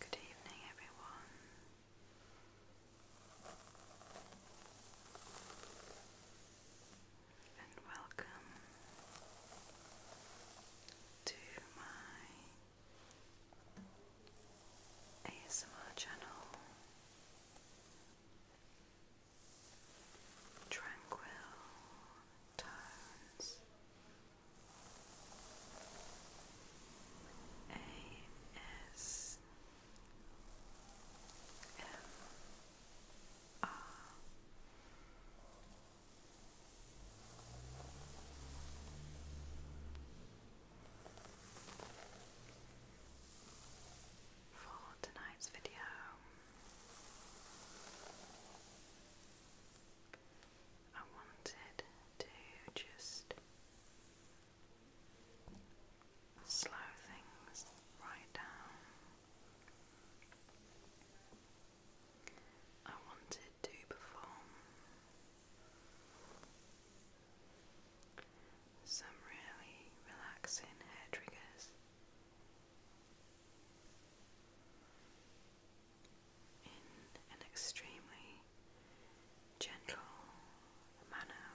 Good evening, everyone and welcome to my ASMR channel Tranquil Tones ASMR M R for tonight's video. I wanted to just slow things right down. I wanted to perform some really relaxing hair triggers. In an extremely gentle manner,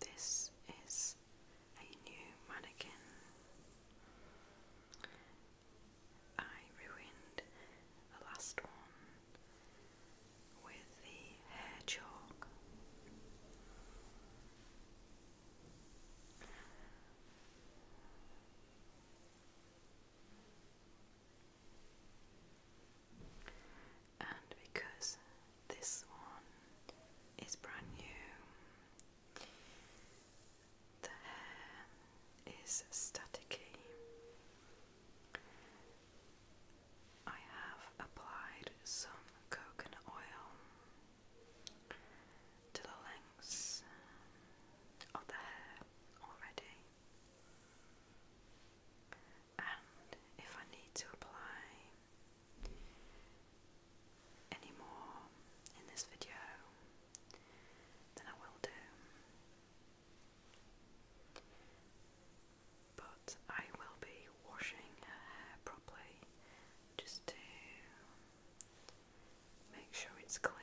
this is a new mannequin. I ruined the last one with the hair chalk. And because this one is brand new, the hair is staticky. I have applied some coconut oil to the of the hair already. And if I need to apply any more in this video, then I will do. But I will be washing her hair properly just to make sure it's clean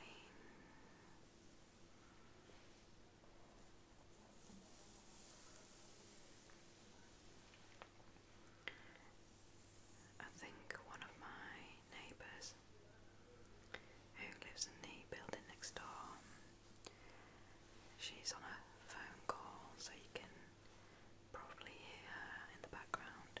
I think one of my neighbours who lives in the building next door, she's on a phone call, so you can probably hear her in the background.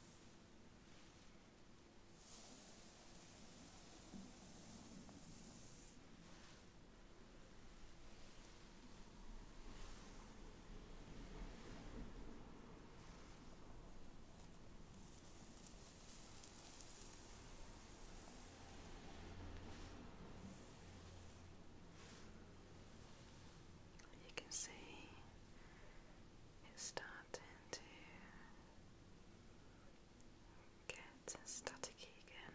You can see it's starting to get staticky again.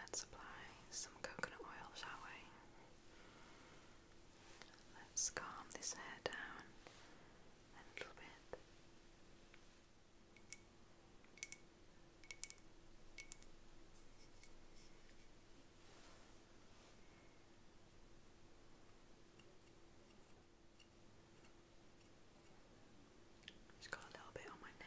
Let's apply some coconut oil, shall we? Let's calm this hair down a little bit. Just got a little bit on my nail.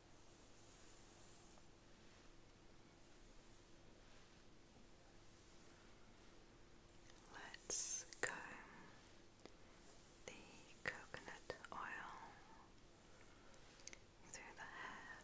Let's comb the coconut oil through the hair.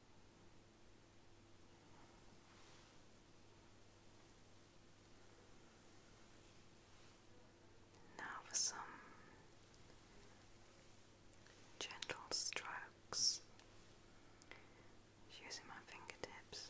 Now for some gentle strokes using my fingertips.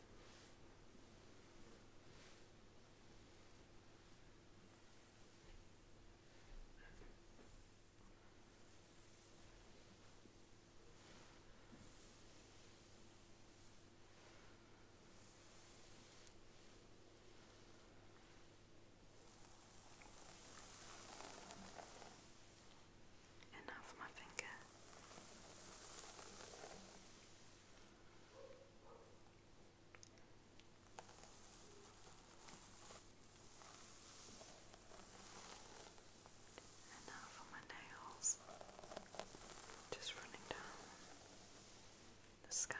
And now for my finger. And now for my nails, just running down the scalp.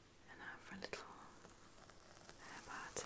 And now for a little hair parting.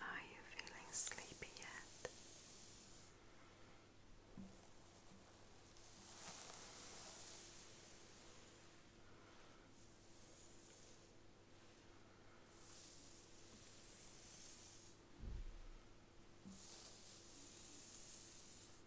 Are you feeling sleepy yet?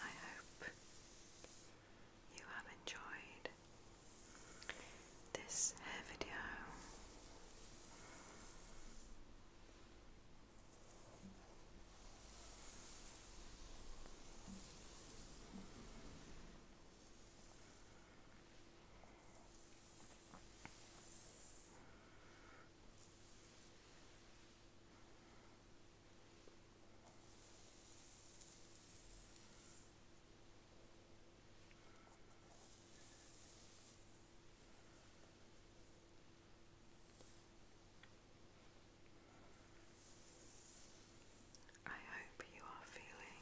I hope you have enjoyed this hair video. I hope you are feeling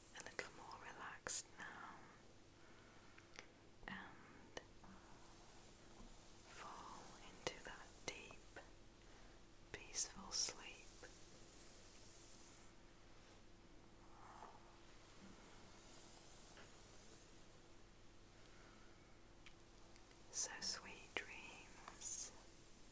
a little more relaxed now and fall into that deep, peaceful sleep. So, sweet dreams